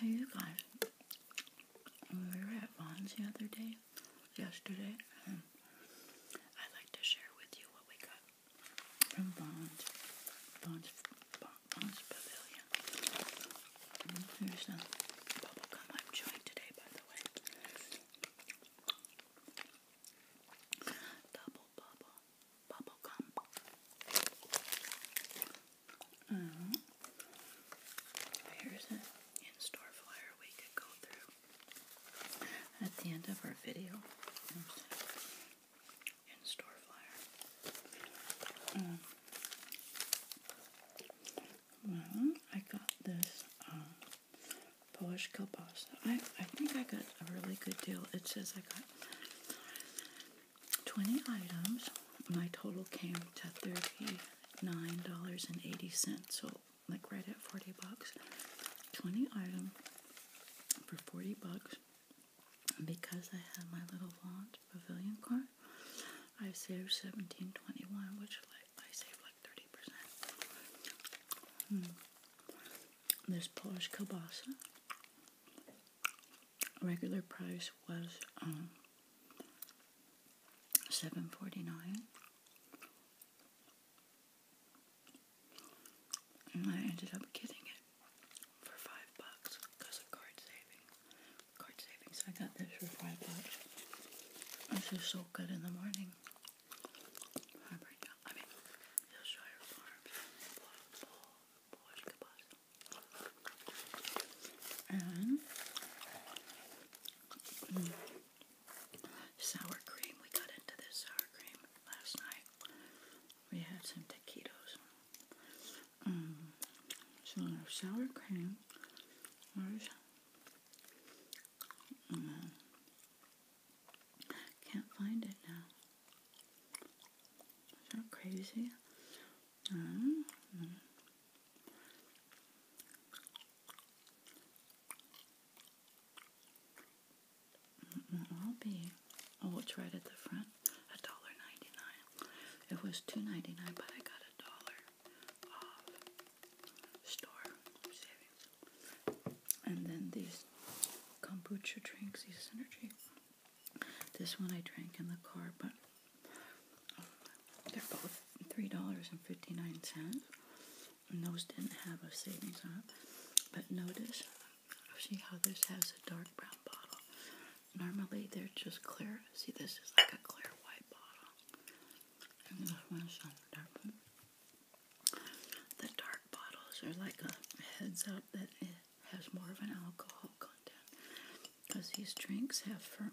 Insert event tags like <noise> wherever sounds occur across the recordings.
Hey you guys, we were at Vaughn's the other day, yesterday, I'd like to share with you what we got from Vaughn's, Vaughn's, Vaughn's Pavilion. And here's some bubblegum I'm chewing today, by the way bubble bubble gum. Mm. Here's an in-store flyer we could go through at the end of our video. In-store flyer. Mm. Well, mm-hmm. I got this um, Polish kielbasa. I I think I got a really good deal. It says I got 20 items. My total came to $39.80, so like right at 40 bucks. 20 item for 40 bucks. Because I had my little Vaunt pavilion card, I saved 17.21, which like I saved like 30%. Hmm. This Polish kielbasa regular price was um, seven forty nine, and I ended up getting it for five bucks because of card savings. Card savings. I got this for five bucks. This is so good in the morning. Mm, sour cream. We got into this sour cream last night. We had some taquitos. Mm, so sour cream. Where's mm, can't find it now. Is that crazy? Mm-hmm. Mm-hmm. I'll be. Oh, it's right at the front. A dollar ninety-nine. It was two ninety-nine, but I got a dollar off store savings. And then these kombucha drinks, these synergy this one I drank in the car, but they're both three dollars and fifty nine cents. And those didn't have a savings on But notice, see how this has a dark brown bottle. Normally they're just clear. See, this is like a clear white bottle. And this one's on the dark one. The dark bottles are like a heads up that has more of an alcohol content because these drinks have firm,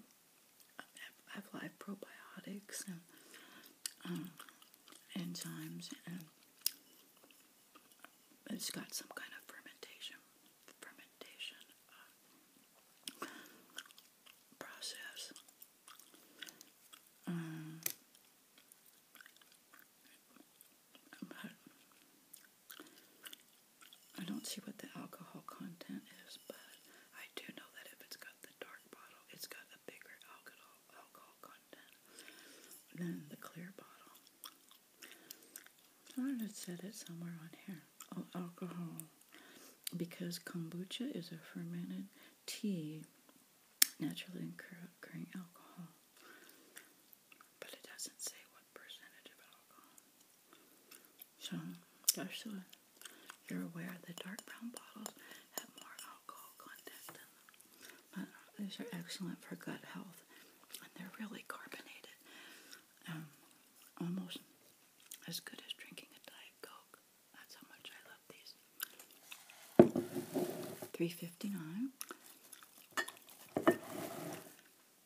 have, live probiotics and um, enzymes and it's got some kind of fermentation fermentation uh, process. Um, I don't see what the alcohol content is, but I do know that if it's got the dark bottle, it's got a bigger alcohol alcohol content than the clear bottle. I would have said it somewhere on here. Oh, alcohol. Because kombucha is a fermented tea naturally occurring alcohol but it doesn't say what percentage of alcohol. So, just you're aware, the dark brown bottles have more alcohol content than them. But these are excellent for gut health, and they're really carbonated, um, almost as good as drinking a diet coke. That's how much I love these. Three fifty nine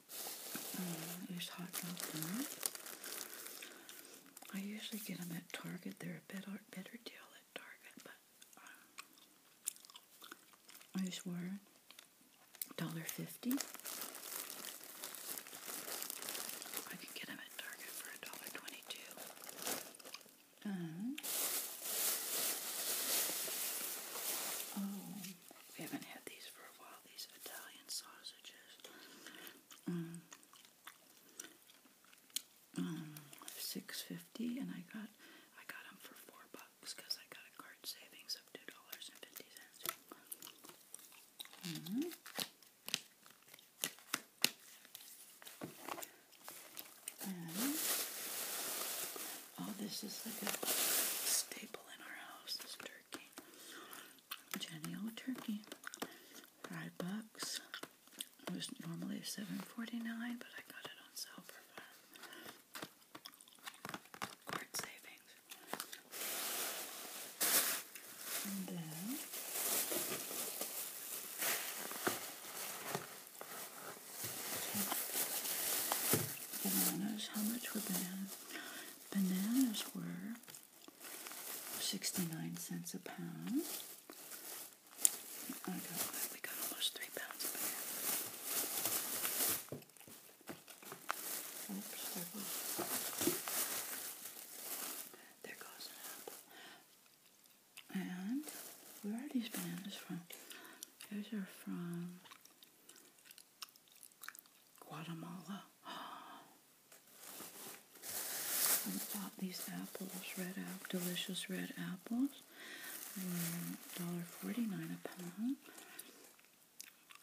uh, hot dog I usually get them at Target. They're a better, better deal at Target, but uh, these were $1.50. I can get them at Target for $1.22. Uh, uh-huh. oh, we haven't had these for a while, these Italian sausages. Mm. Mm. six fifty, and I got I got them for four bucks because I got a card savings of two dollars and fifty cents. Mm-hmm. oh, this is like a staple staple in our house is turkey. Jenny O turkey. Five bucks. It was normally seven forty nine, but I got it on sale for five. Court savings. And then Bananas. How much were bananas? Bananas were 69 cents a pound. I got, we got almost three pounds of bananas. there goes. There And where are these bananas from? Those are from Guatemala. <gasps> I bought these apples, red apple, delicious red apples, $1.49 a pound.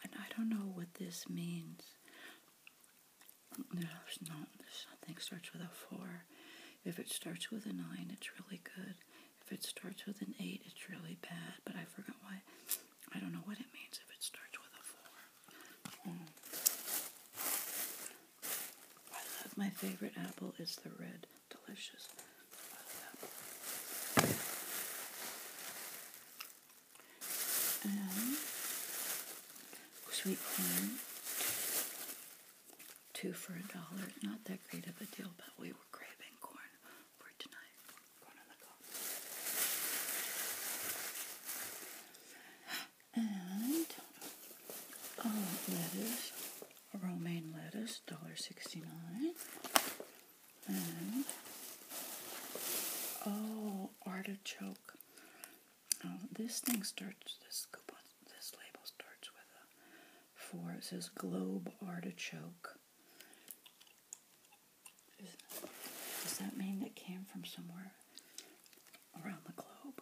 And I don't know what this means. There's no, there's starts with a four. If it starts with a nine, it's really good. If it starts with an eight, it's really bad. But I forgot why. I don't know what it means if it starts with a four. Hmm. I love my favorite apple is the red, delicious. And sweet corn, two for a dollar. Not that great of a deal, but we were craving corn for tonight. And oh, lettuce, romaine lettuce, $1.69. And oh, artichoke. this thing starts, this coupon, this label starts with a four. It says globe artichoke does that mean it came from somewhere around the globe?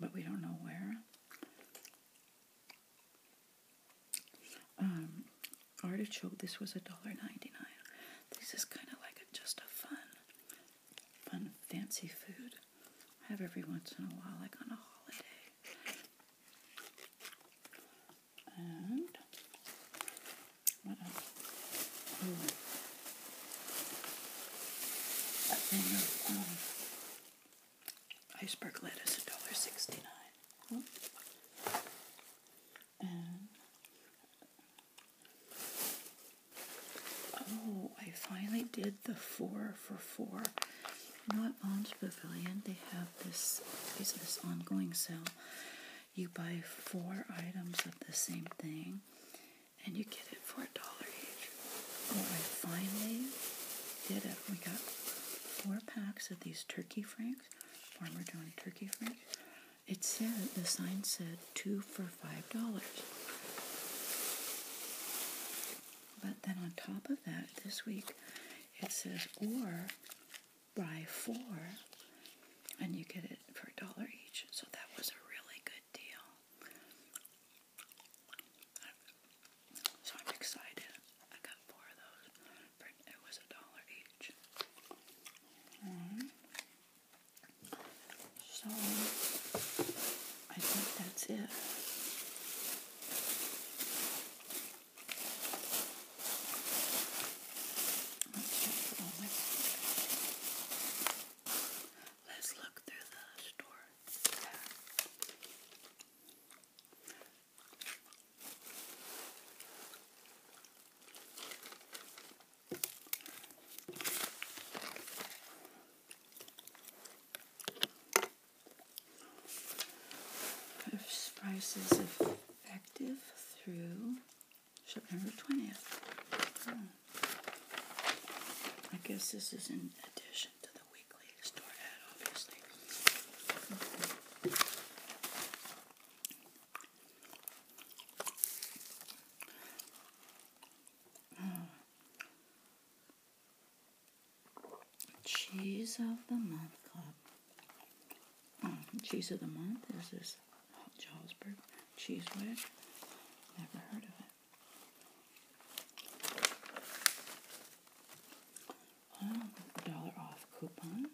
But we don't know where. Um, artichoke, this was $1.99. This is kind of like just a fun, fun, fancy food. I have every once in a while, like on a holiday and what else? Ooh. That thing um, iceberg lettuce, a dollar sixty nine. Oh. And oh, I finally did the four for four. Not on at Alms Pavilion they have this is this ongoing sale you buy four items of the same thing and you get it for a dollar each. Oh, I finally did it. We got four packs of these turkey franks, Farmer John turkey franks. It said, the sign said two for five dollars. But then on top of that, this week it says, or buy four and you get it for a dollar each. So that was a really good deal. So I'm excited. I got four of those. it was a dollar each. So I think that's it. Let's look through the store tab. If prices effective through September 20th. I guess this is in addition to the weekly store ad, obviously. Cheese of the Month Club. Mm, cheese of the month is this Jarlsberg cheese wedge. Never heard of it. dollar off coupon.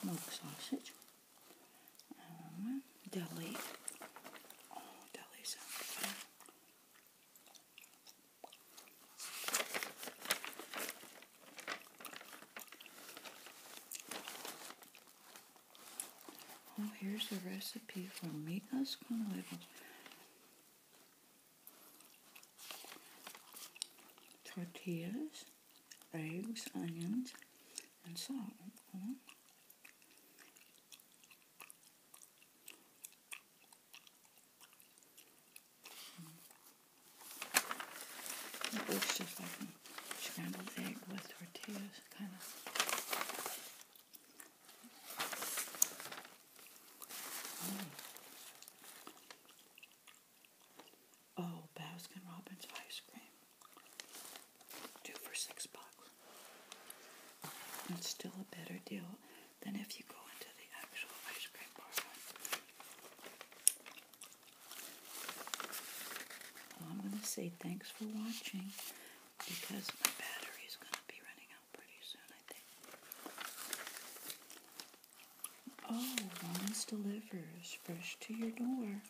Smoked sausage. Um, deli. Oh, deli sounds Oh, here's a recipe for kind of huevo. Tortillas, eggs, onions, and salt. Oh. It Looks just like a scrambled egg with tortillas, kind of. Mm. Oh, Baskin Robbins ice cream. Two for six bucks. It's still a better deal than if you go into the actual ice cream bar. I'm going to say thanks for watching because my battery is going to be running out pretty soon, I think. Oh, Ron's Delivers, fresh to your door.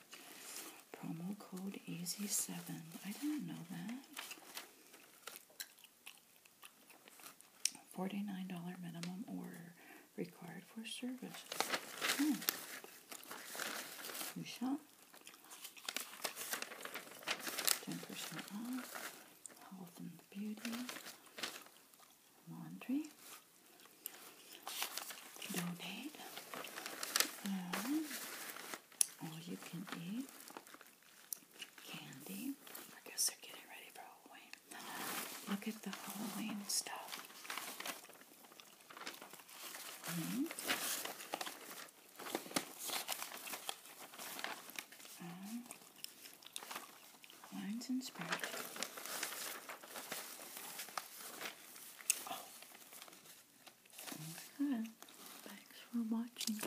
Promo code EASY7. I didn't know that. $49 minimum order required for service. Hmm. You 10% off. Health and beauty. Laundry. Donate. all you can eat. Candy. I guess they're getting ready for Halloween. Look at the Halloween stuff. Mm-hmm. lines and spread. Oh. Okay. Thanks for watching.